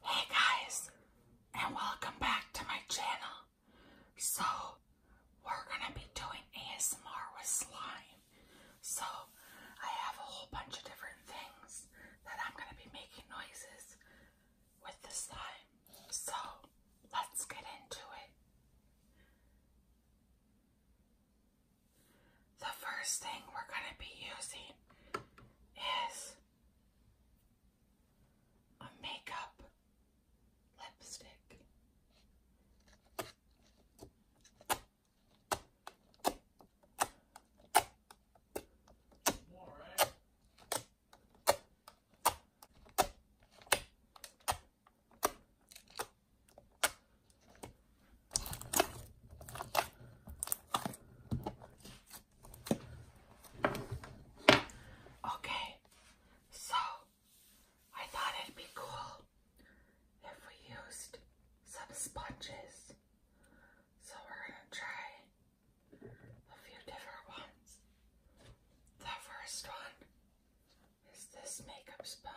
Hey guys, and welcome back to my channel. So, we're gonna be doing ASMR with slime. So, I have a whole bunch of different things that I'm gonna be making noises with the slime. So, let's get into it. The first thing we're going to be using is a makeup lipstick. Okay, so I thought it'd be cool if we used some sponges. So we're going to try a few different ones. The first one is this makeup sponge.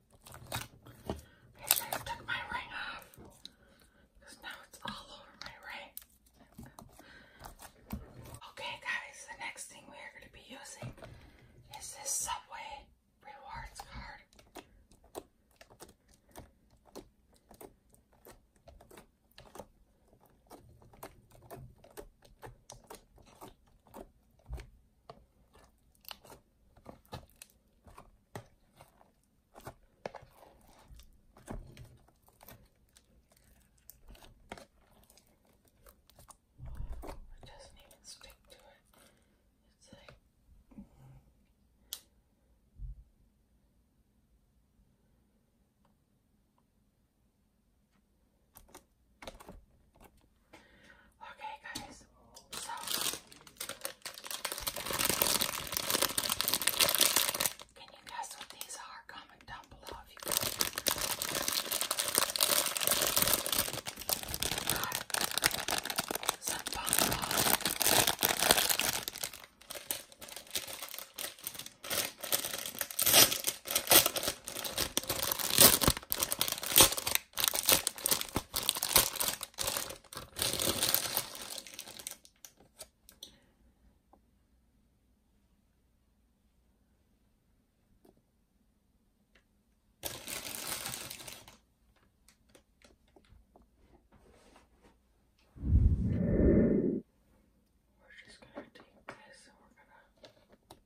I should have took my ring off because now it's all over my ring. Okay guys, the next thing we are going to be using is this Subway rewards card. Wow, it doesn't even stick to it. It's like Okay, guys, so can you guess what these are? Comment down below if you guys. We're just gonna take this and we're gonna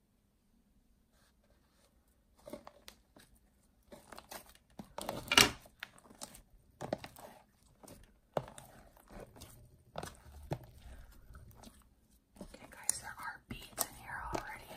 Okay, guys, there are beads in here already.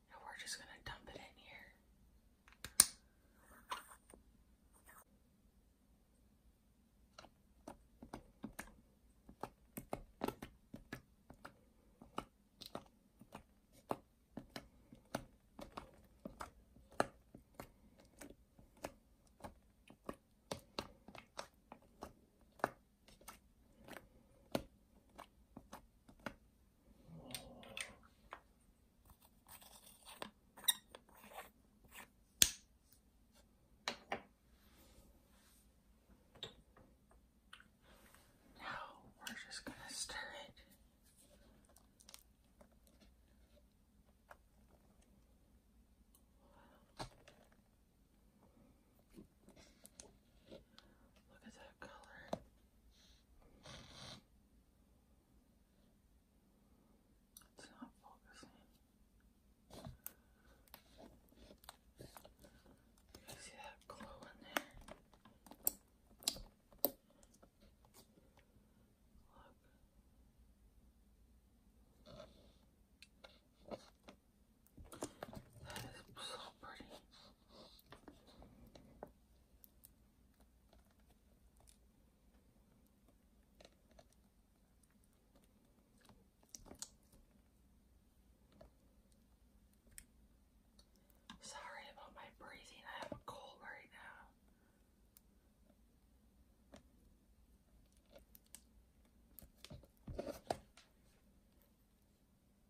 and we're just gonna dump it in here. Now we're just going to stir it. Look at that color. It's not focusing. You see that glow in there? Look. That is so pretty. Sorry about my breathing. I have a cold right now.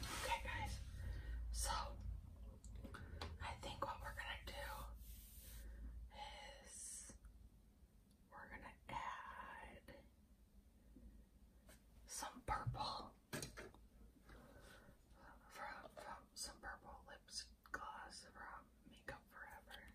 Okay, guys, so I think what we're gonna do is we're gonna add some purple from, some purple lips gloss from Makeup Forever.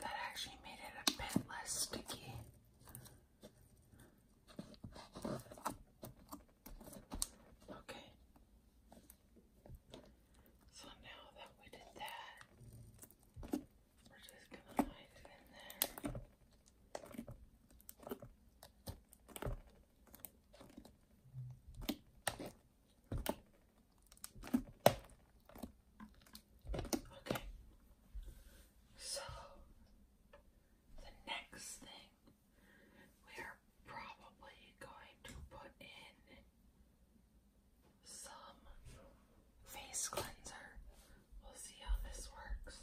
That actually made it a bit less sticky Okay. So now that we did that, we're just gonna hide it in there. Okay, so the next thing we're probably going to put in some face cleanser. We'll see how this works.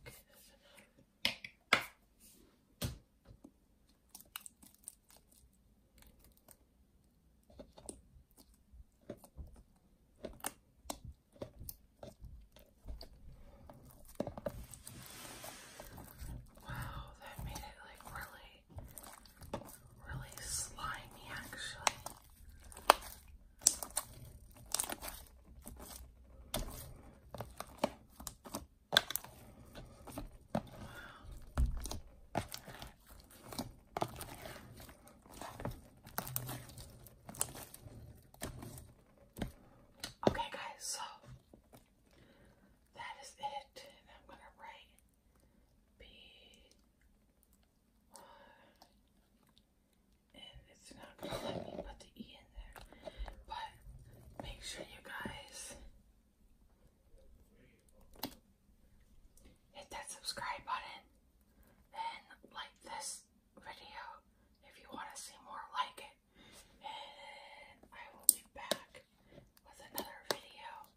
Okay, that's Wow, that made it like really really slimy actually. Okay, guys, so that is it, I'm gonna write B it's not gonna let me put the E in there. But make sure you guys hit that subscribe button and like this video if you want to see more like it. And I will be back with another video.